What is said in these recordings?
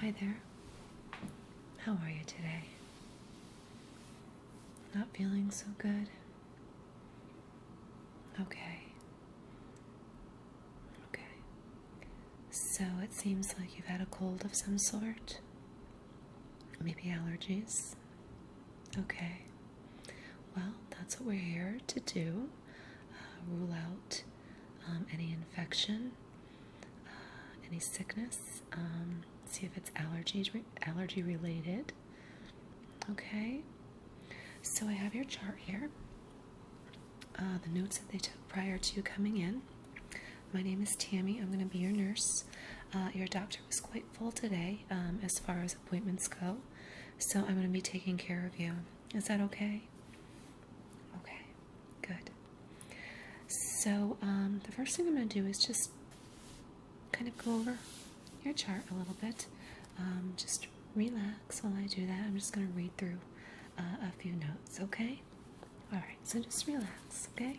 Hi there. How are you today? Not feeling so good? Okay. Okay. So it seems like you've had a cold of some sort. Maybe allergies? Okay. Well, that's what we're here to do uh, rule out um, any infection, uh, any sickness, um, see if it's allergy, allergy related. Okay, so I have your chart here. Uh, the notes that they took prior to you coming in. My name is Tammy. I'm going to be your nurse. your doctor was quite full today um, as far as appointments go. So I'm going to be taking care of you. Is that okay? Okay, good. So um, the first thing I'm going to do is just kind of go over your chart a little bit. Um, just relax while I do that. I'm just going to read through uh, a few notes, okay? All right, so just relax, okay?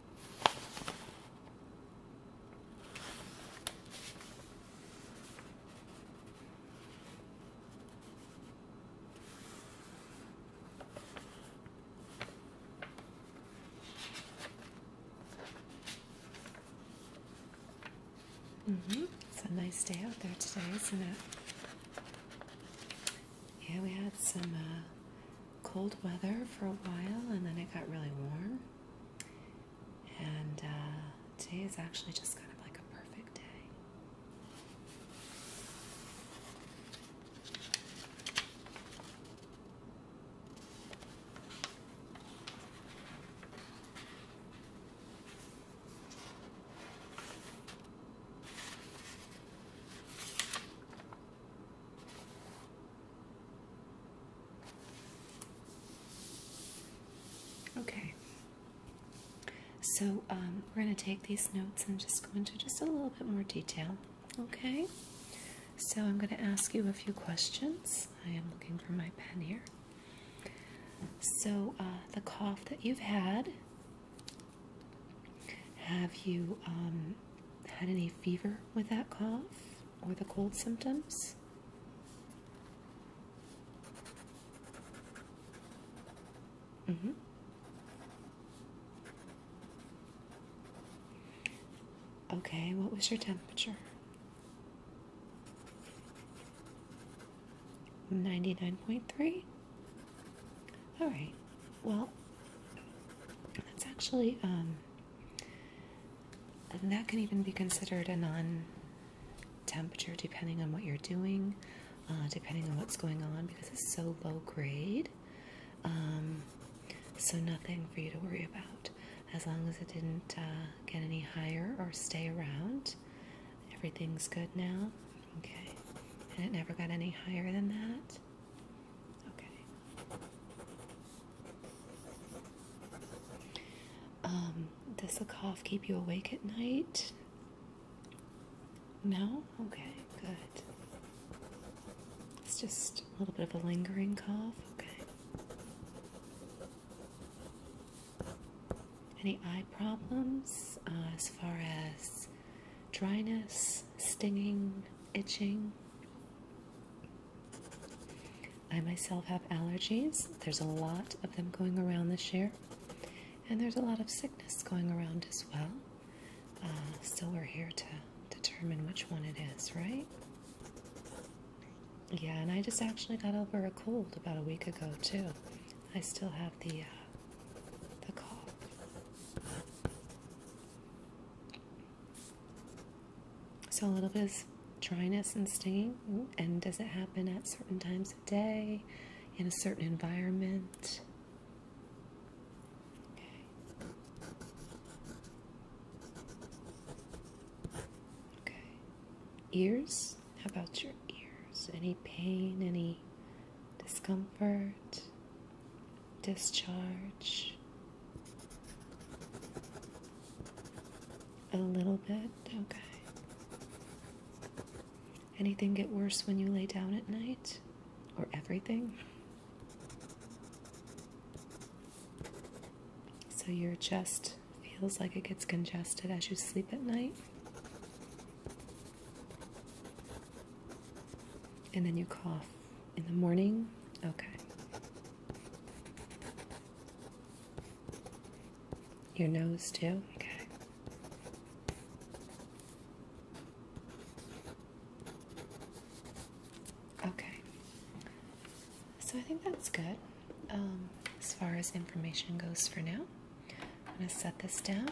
-hmm. It's a nice day out there today, isn't it? Yeah, we had some uh, cold weather for a while and then it got really warm. And uh, today is actually just kind of like a perfect day. Okay, so um, we're going to take these notes and just go into just a little bit more detail. Okay, so I'm going to ask you a few questions. I am looking for my pen here. So, uh, the cough that you've had, have you um, had any fever with that cough or the cold symptoms? Mm -hmm. Okay, what was your temperature? 99.3? Alright, well, that's actually um, and that can even be considered a non temperature depending on what you're doing, uh, depending on what's going on, because it's so low grade. Um, so, nothing for you to worry about. As long as it didn't uh, get any higher or stay around, everything's good now. Okay. And it never got any higher than that. Okay. Um, does the cough keep you awake at night? No? Okay, good. It's just a little bit of a lingering cough. Okay. Any eye problems uh, as far as dryness, stinging, itching? I myself have allergies. There's a lot of them going around this year, and there's a lot of sickness going around as well. Uh, so we're here to determine which one it is, right? Yeah, and I just actually got over a cold about a week ago too. I still have the uh, the cold. So a little bit of dryness and stinging, and does it happen at certain times of day, in a certain environment? Okay. Okay. Ears? How about your ears? Any pain? Any discomfort? discharge a little bit. Okay. Anything get worse when you lay down at night? Or everything? So your chest feels like it gets congested as you sleep at night. And then you cough in the morning? Okay. Your nose, too? Okay. Okay. So I think that's good um, as far as information goes for now. I'm going to set this down.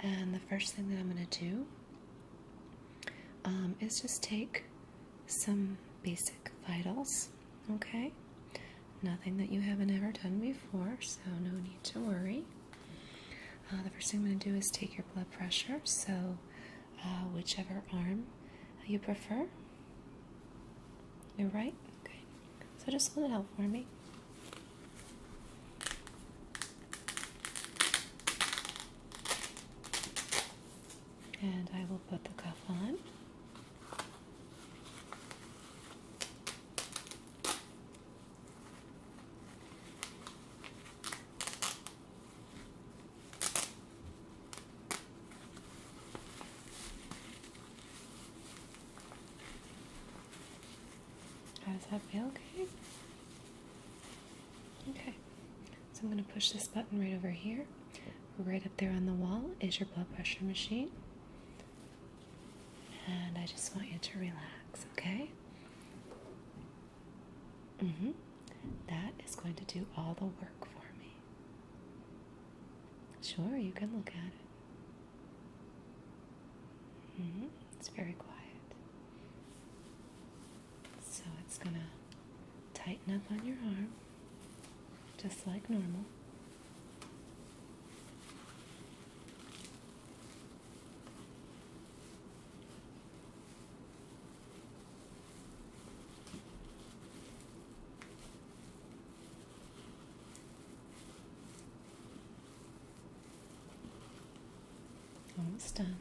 And the first thing that I'm going to do um, is just take some basic vitals, okay? Nothing that you haven't ever done before, so no need to worry. Uh, the first thing I'm going to do is take your blood pressure, so uh, whichever arm you prefer. You're right? Okay. So just hold it out for me. And I will put the cuff on. does that feel? Okay. Okay. So I'm going to push this button right over here. Right up there on the wall is your blood pressure machine. And I just want you to relax, okay? Mm -hmm. That is going to do all the work for me. Sure, you can look at it. -hmm. It's very quiet. So it's going to tighten up on your arm just like normal. Almost done.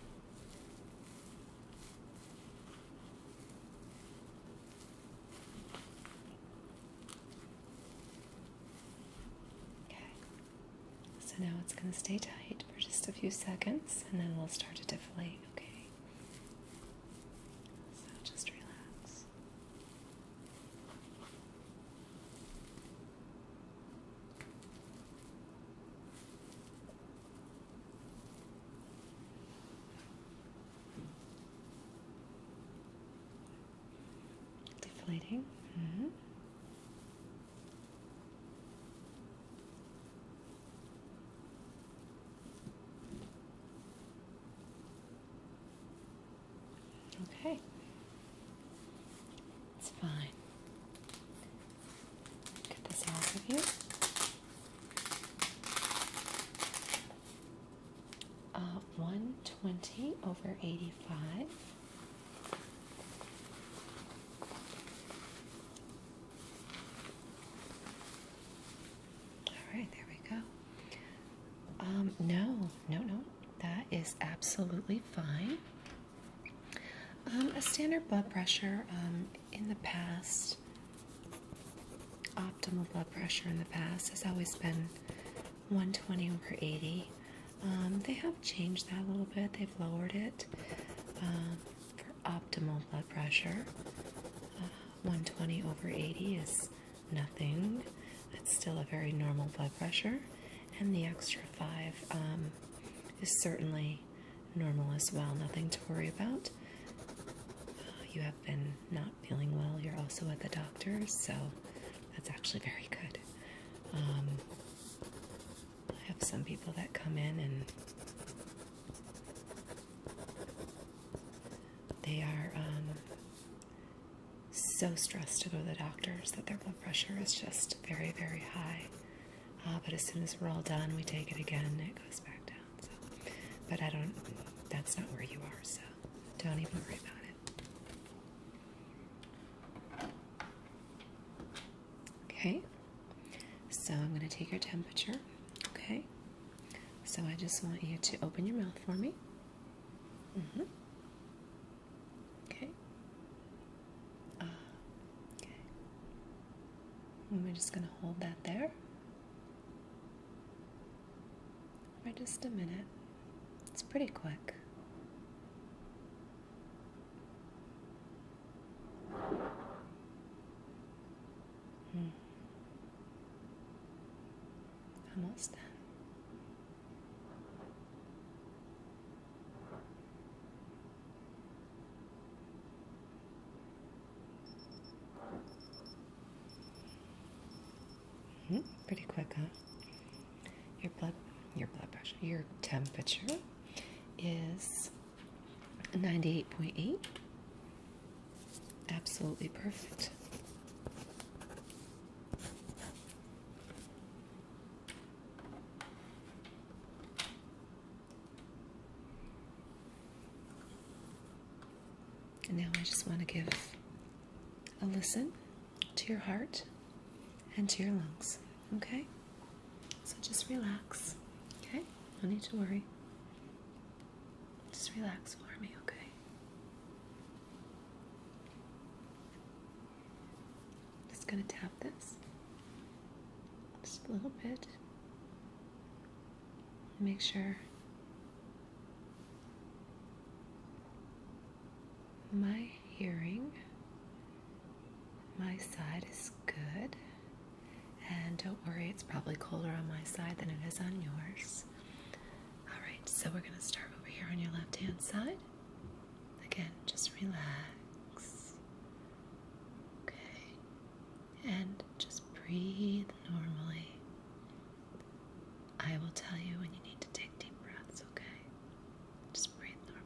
Okay, so now it's going to stay tight for just a few seconds and then we'll start to deflate, okay? So just relax. Deflating. -hmm. Okay. It's fine. Get this out of you. Uh, 120 over 85. All right, there we go. Um, no, no, no, that is absolutely fine. Um, a standard blood pressure um, in the past, optimal blood pressure in the past has always been 120 over 80. Um, they have changed that a little bit, they've lowered it for optimal blood pressure. Uh, 120 over 80 is nothing, it's still a very normal blood pressure, and the extra 5 is certainly normal as well, nothing to worry about. Uh, you have been not feeling well, you're also at the doctor, so that's actually very good. Um, I have some people that come in and they are um, so stressed to go to the doctor that their blood pressure is just very, very high. Ah, but as soon as we're all done, we take it again it goes back down. So, but I don't. That's not where you are, so don't even worry about it. Okay. So I'm going to take your temperature. Okay. So I just want you to open your mouth for me. Mm-hmm. Okay. Ah, okay. we're just going to hold that there for just a minute. It's pretty quick. Hmm. Almost done. Mm, pretty quick, huh? Your blood, your blood pressure, your temperature is 98.8. Absolutely perfect. And now I just want to give a listen to your heart and to your lungs, okay? So just relax, okay? No need to worry. Just relax for me, okay? Just going to tap this just a little bit. Make sure my hearing, my side is good. And don't worry, it's probably colder on my side than it is on yours. All right, so we're going to start over here on your left hand side. Again, just relax. Okay. And just breathe normally. I will tell you when you need to take deep breaths, okay? Just breathe normally.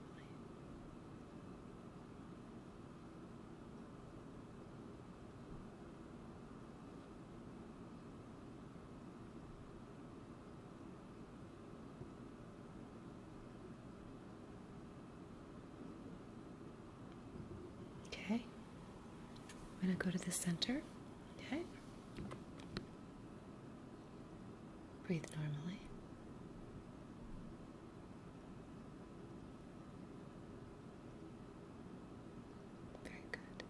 Okay. I'm going to go to the center. Okay. Breathe normally. Very good.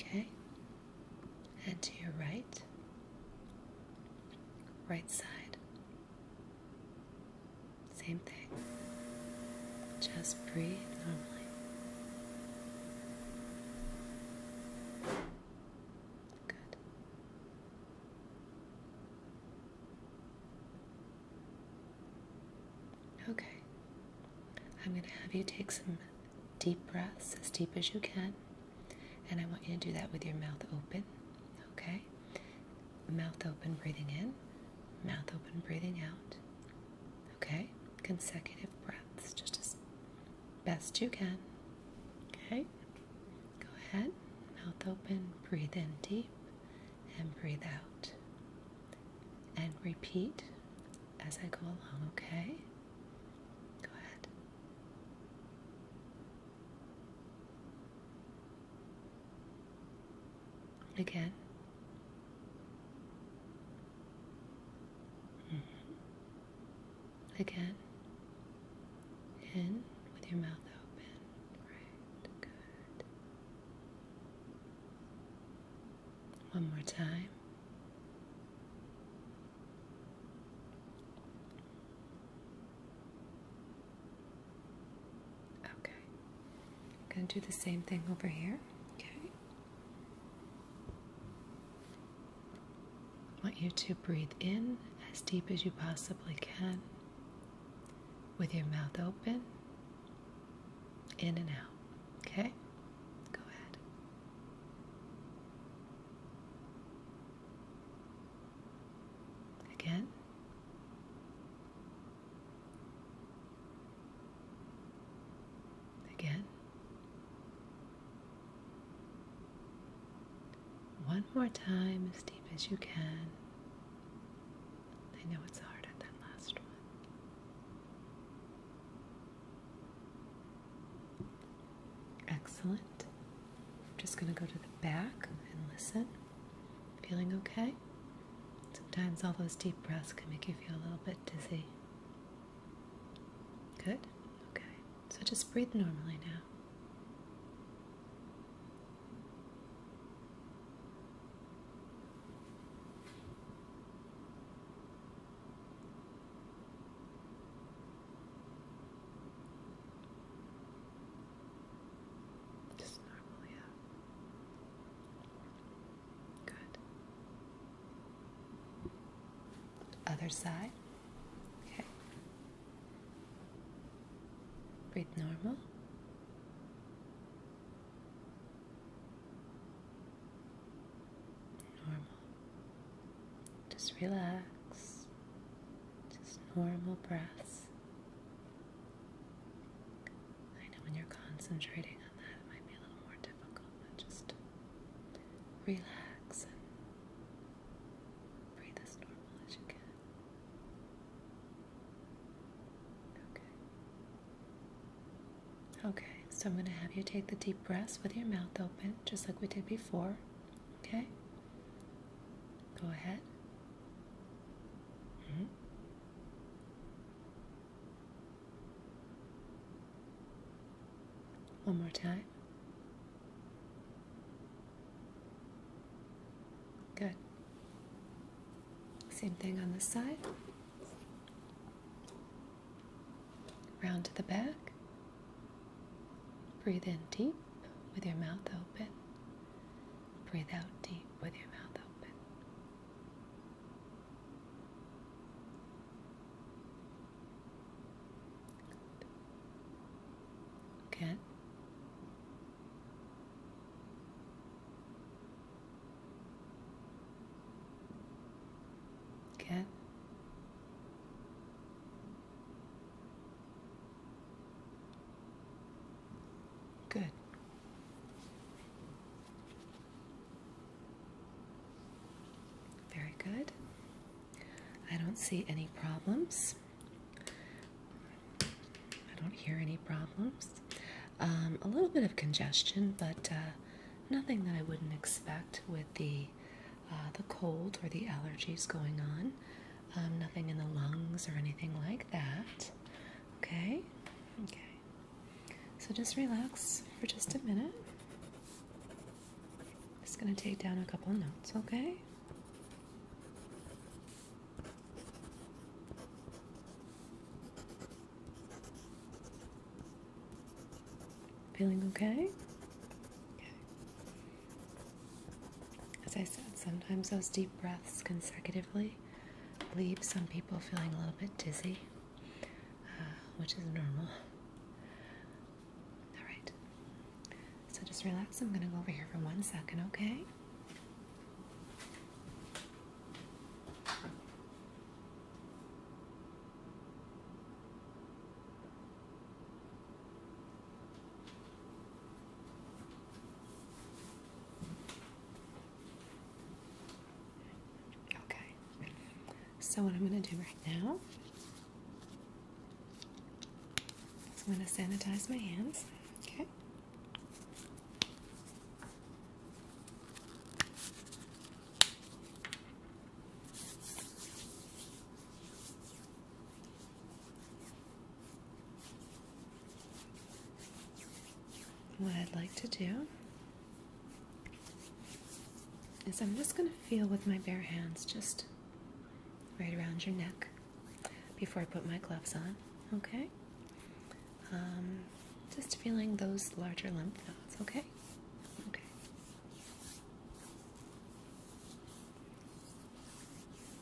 Okay, and to your right, right side, same thing. Just breathe normally. Okay. I'm going to have you take some deep breaths, as deep as you can, and I want you to do that with your mouth open. Okay? Mouth open, breathing in, mouth open, breathing out. Okay? Consecutive breaths, just as best you can. Okay? Go ahead, mouth open, breathe in deep, and breathe out. And repeat as I go along, okay? Go ahead. Again. Mm-hmm. Again. In with your mouth open. Right. Good. One more time. Okay. I'm going to do the same thing over here. Okay. I want you to breathe in as deep as you possibly can with your mouth open, in and out. Okay? Go ahead. Again. Again. One more time, as deep as you can. I know it's hard at that last one. Excellent. I'm just going to go to the back and listen. Feeling okay? Sometimes all those deep breaths can make you feel a little bit dizzy. Good. Okay. So just breathe normally now. Just normally Good. Other side. Okay. Breathe normal. Normal. Just relax. Just normal breaths. I know when you're concentrating on that, it might be a little more difficult, just relax Okay. Okay, so I'm going to have you take the deep breaths with your mouth open, just like we did before. Okay? Go ahead. Mm-hmm. One more time. Good. Same thing on this side. Round to the back. Breathe in deep with your mouth open. Breathe out deep with your mouth open. Good. Good. Good. Very good. I don't see any problems. I don't hear any problems. Um, a little bit of congestion, but uh, nothing that I wouldn't expect with the uh, the cold or the allergies going on. Um, nothing in the lungs or anything like that. Okay, okay. So just relax for just a minute. Just going to take down a couple notes, okay? Feeling okay? As I said, sometimes those deep breaths consecutively leave some people feeling a little bit dizzy, uh, which is normal. Alright. So just relax. I'm going to go over here for one second, okay? Okay. So what I'm going to do right now I'm going to sanitize my hands. Okay. What I'd like to do is I'm just going to feel with my bare hands just right around your neck before I put my gloves on. Okay? Um, just feeling those larger lymph nodes, okay? Okay.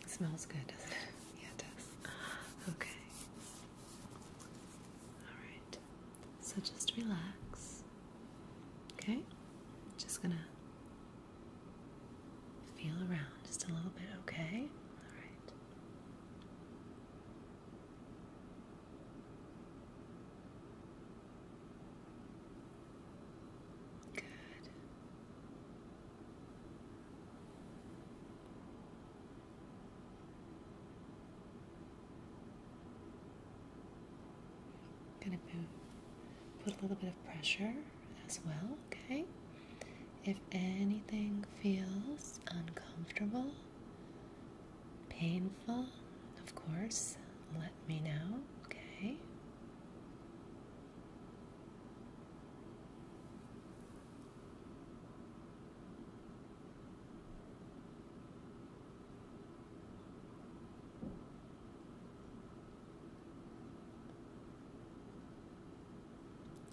smells good, does it? Yeah, it does. Okay. Alright. So just relax. Okay? Just gonna feel around just a little bit, okay? All right. Good gonna put a little bit of pressure as well, okay? If anything feels uncomfortable, painful, of course, let me know, okay?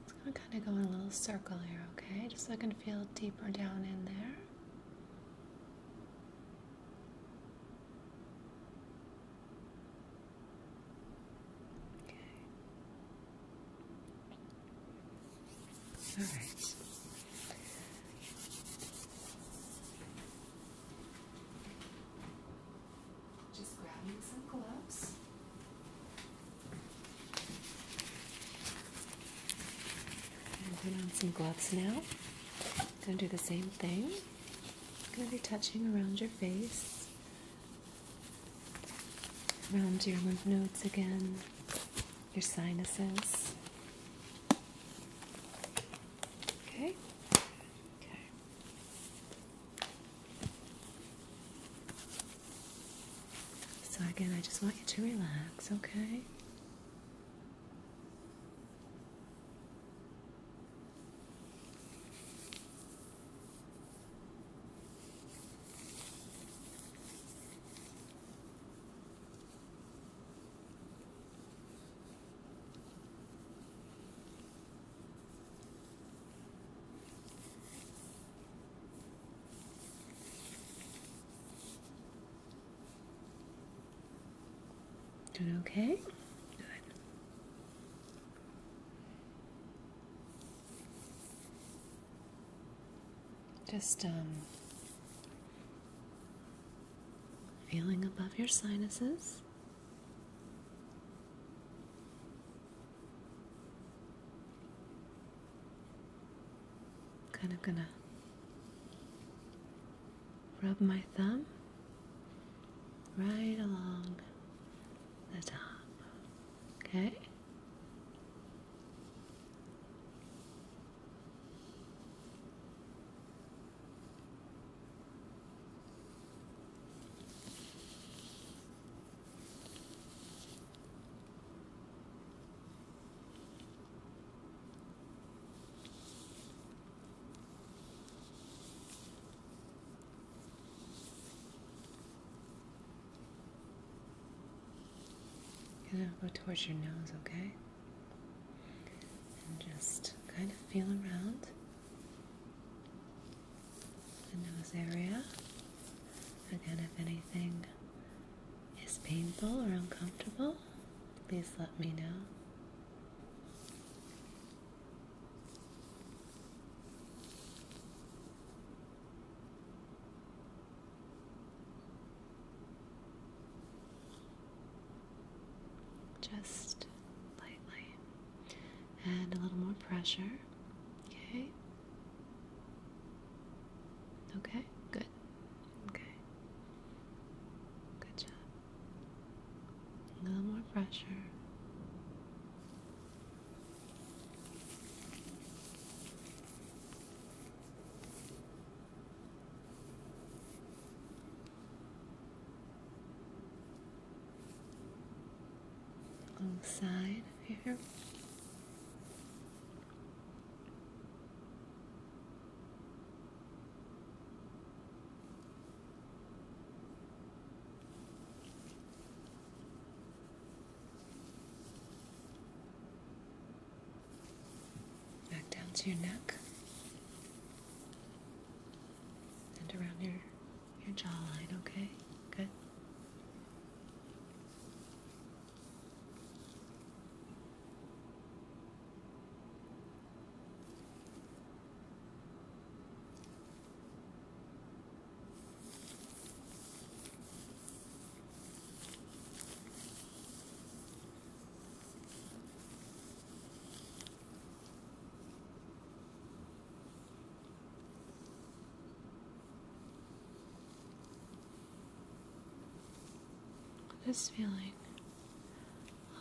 I'm gonna kind of go in a little circle here, okay? Just so I can feel deeper down in there. Okay. All right. Just grabbing some gloves. put on some gloves now. Gonna do the same thing. Gonna be touching around your face, around your lymph nodes again, your sinuses. Okay. So again, I just want you to relax, okay? Doing okay? Good. Just um feeling above your sinuses. Kind of gonna rub my thumb right along the top. Okay? You're gonna go towards your nose, okay? And just kind of feel around the nose area. Again, if anything is painful or uncomfortable, please let me know. Just lightly. And a little more pressure. Okay. Okay, good. Okay. Good job. A little more pressure. Alongside here back down to your neck and around your your jawline, okay? Good. This feeling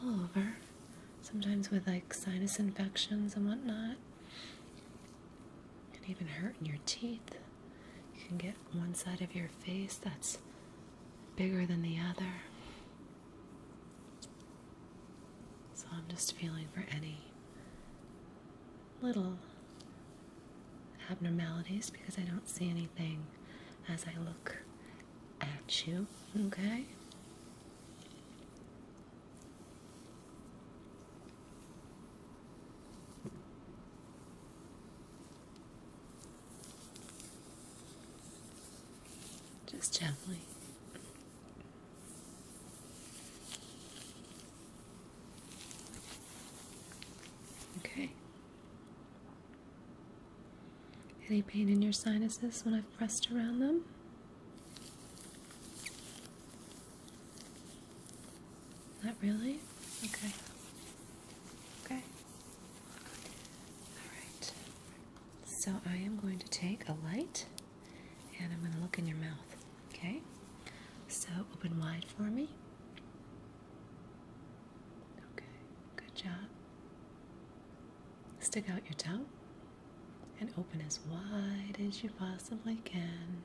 all over, sometimes with like sinus infections and whatnot. It can even hurt in your teeth. You can get one side of your face that's bigger than the other. So I'm just feeling for any little abnormalities because I don't see anything as I look at you, okay? Just gently. Okay. Any pain in your sinuses when I've pressed around them? Not really? Okay. Okay. All right. So I am going to take a light and I'm going to look in your mouth. Okay? So open wide for me. Okay, good job. Stick out your tongue and open as wide as you possibly can.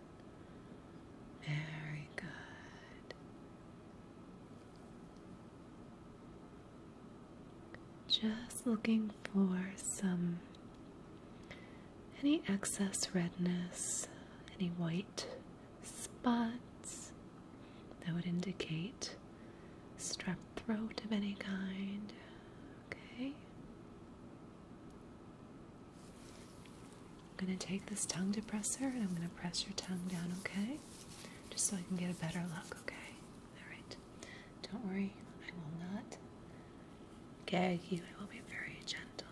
Very good. Just looking for some any excess redness, any white spots that would indicate strep throat of any kind. Okay. I'm going to take this tongue depressor and I'm going to press your tongue down, okay? Just so I can get a better look, okay? Alright. Don't worry, I will not gag you. I will be very gentle.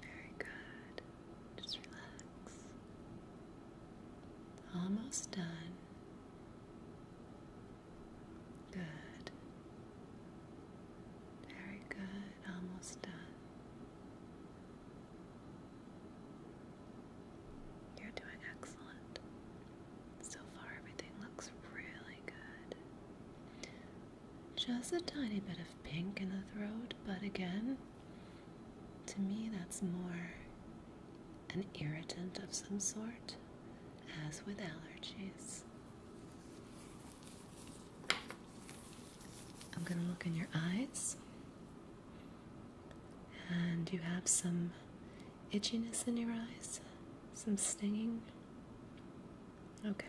Very good. Just relax. Almost done. Good. Very good. Almost done. You're doing excellent. So far, everything looks really good. Just a tiny bit of pink in the throat, but again, to me, that's more an irritant of some sort, as with allergies. I'm going to look in your eyes. And you have some itchiness in your eyes, some stinging. Okay.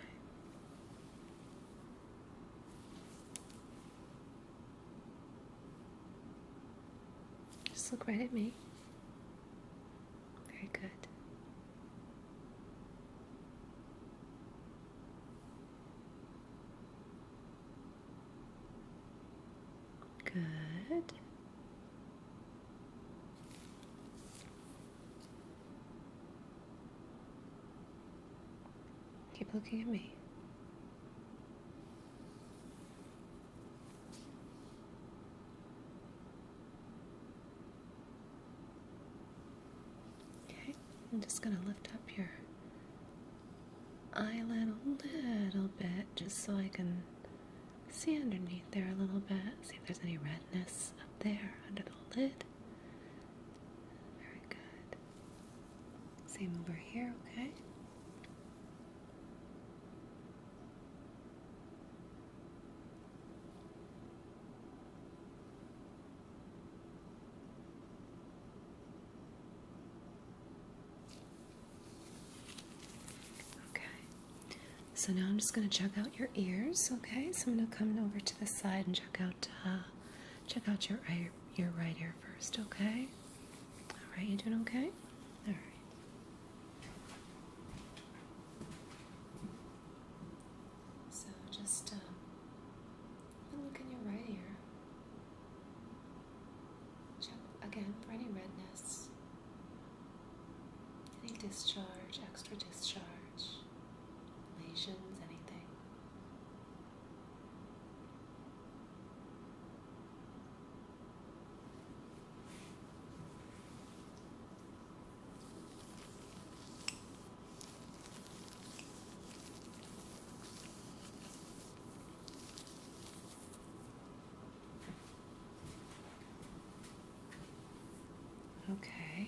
Just look right at me. Very good. Good. Keep looking at me. Okay, I'm just going to lift up your eyelid a little bit just so I can see underneath there a little bit, see if there's any redness up there under the lid. Very good. Same over here, okay? Okay, so now I'm just going to check out your ears. Okay, so I'm going to come over to the side and check out uh, check out your eye, your right ear first. Okay. All right, you doing okay? All right. So just uh, look in your right ear. Check again for any redness, any discharge, extra discharge, lesions, anything. Okay,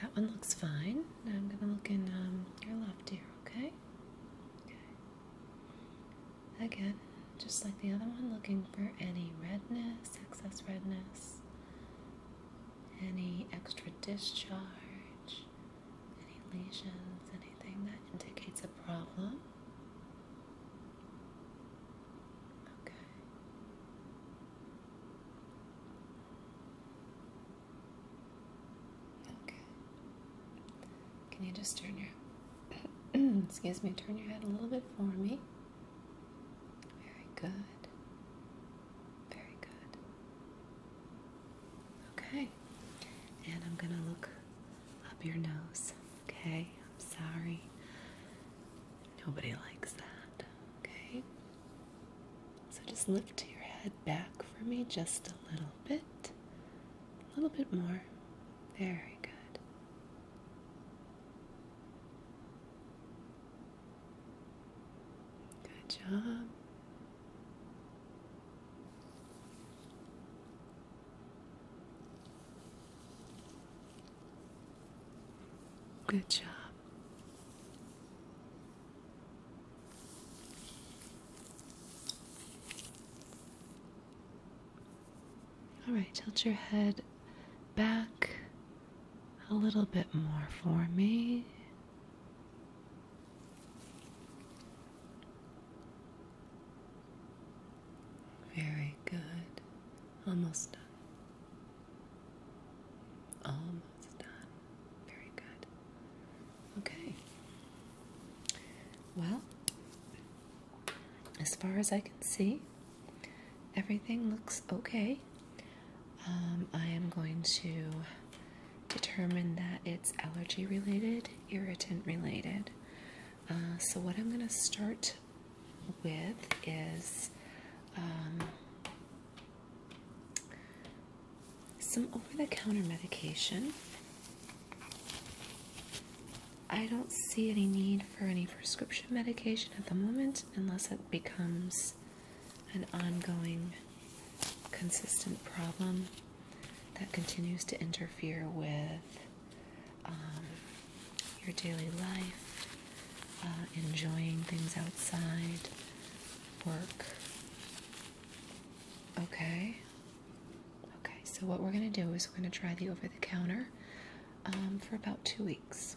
that one looks fine. Now I'm going to look in um, your left ear, okay? Okay. Again, just like the other one, looking for any redness, excess redness, any extra discharge, any lesions, anything that indicates a problem. Okay. Okay. Can you just turn your excuse me, turn your head a little bit for me? Very good. Very good. Okay. And I'm going to look up your nose. Okay. I'm sorry. Nobody likes that. Okay. So just lift your head back for me just a little bit. A little bit more. Very good. Good job. Good job. All right, tilt your head back a little bit more for me. Very good. Almost done. Almost done. Very good. Okay. Well, as far as I can see, Everything looks okay. Um, I am going to determine that it's allergy related, irritant related. Uh, so, what I'm going to start with is um, some over the counter medication. I don't see any need for any prescription medication at the moment unless it becomes an ongoing, consistent problem that continues to interfere with um, your daily life, uh, enjoying things outside, work. Okay? Okay, so what we're going to do is we're going to try the over the counter um, for about two weeks.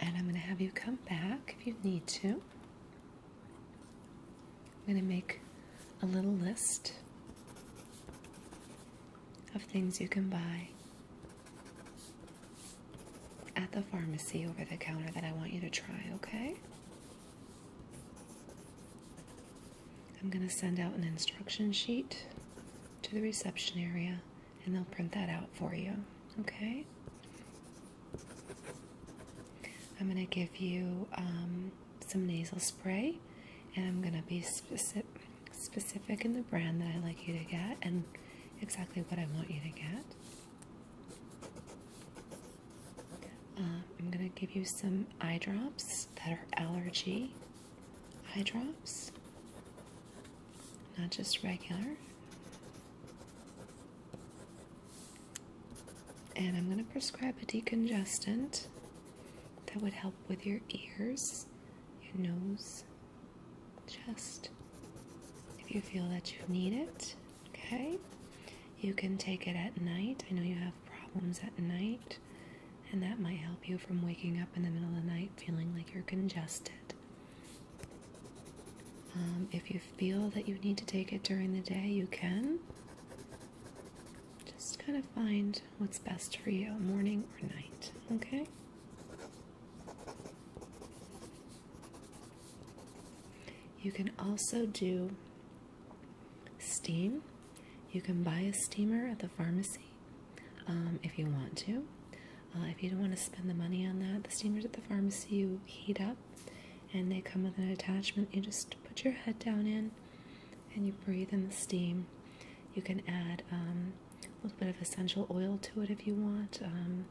And I'm going to have you come back if you need to. I'm going to make a little list of things you can buy at the pharmacy over the counter that I want you to try, okay? I'm going to send out an instruction sheet to the reception area and they'll print that out for you. Okay? I'm going to give you um, some nasal spray, and I'm going to be specific, specific in the brand that I like you to get and exactly what I want you to get. Um, I'm going to give you some eye drops that are allergy eye drops not just regular. And I'm going to prescribe a decongestant that would help with your ears, your nose, chest. If you feel that you need it, okay? You can take it at night. I know you have problems at night, and that might help you from waking up in the middle of the night feeling like you're congested. Um, if you feel that you need to take it during the day, you can. Just kind of find what's best for you, morning or night, okay? You can also do steam. You can buy a steamer at the pharmacy um, if you want to. Uh, if you don't want to spend the money on that, the steamers at the pharmacy you heat up and they come with an attachment you just put your head down in and you breathe in the steam. You can add um, a little bit of essential oil to it if you want, um,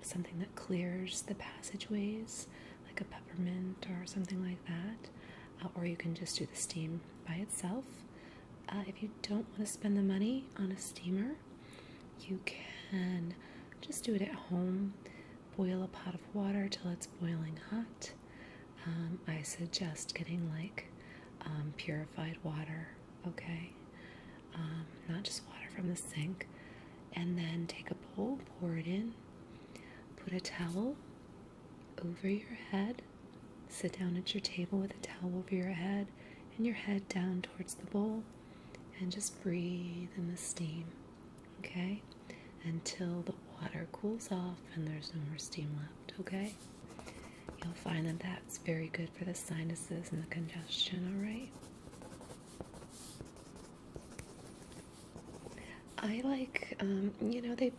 something that clears the passageways, like a peppermint or something like that. Uh, or you can just do the steam by itself. Uh, if you don't want to spend the money on a steamer, you can just do it at home. Boil a pot of water till it's boiling hot. Um, I suggest getting like um, purified water, okay? Um, not just water from the sink. And then take a bowl, pour it in, put a towel over your head, sit down at your table with a towel over your head and your head down towards the bowl, and just breathe in the steam, okay? Until the water cools off and there's no more steam left, okay? You'll find that that's very good for the sinuses and the congestion, alright? I like, um, you know, they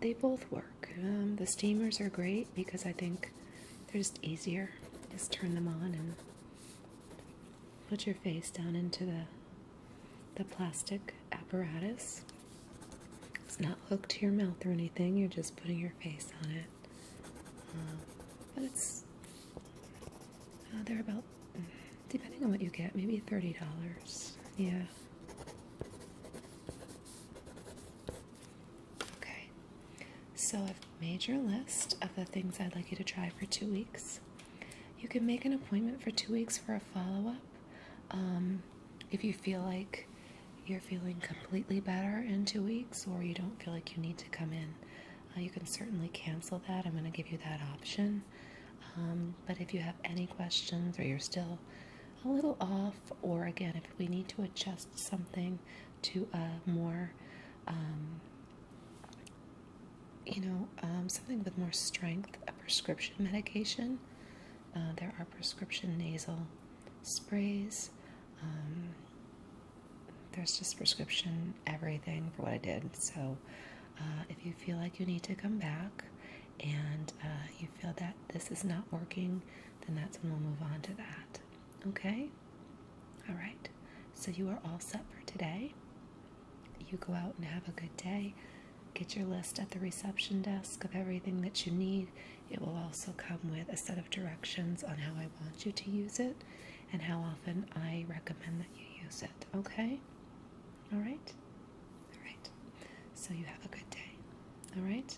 they both work. Um, the steamers are great because I think they're just easier. Just turn them on and Put your face down into the the plastic apparatus. It's not hooked to your mouth or anything. You're just putting your face on it. Uh, but it's uh, they're about depending on what you get, maybe thirty dollars. Yeah. Okay, so I've made your list of the things I'd like you to try for two weeks. You can make an appointment for two weeks for a follow up um, if you feel like you're feeling completely better in two weeks or you don't feel like you need to come in. Uh, you can certainly cancel that. I'm going to give you that option. Um, but if you have any questions or you're still a little off, or again, if we need to adjust something to a more, um, you know, um, something with more strength, a prescription medication. Uh, there are prescription nasal sprays. Um, there's just prescription everything for what I did. So uh, if you feel like you need to come back and uh, you feel that this is not working, then that's when we'll move on to that. Okay? All right. So you are all set for today. You go out and have a good day. Get your list at the reception desk of everything that you need. It will also come with a set of directions on how I want you to use it and how often I recommend that you use it. Okay? All right? All right. So you have a good day. All right?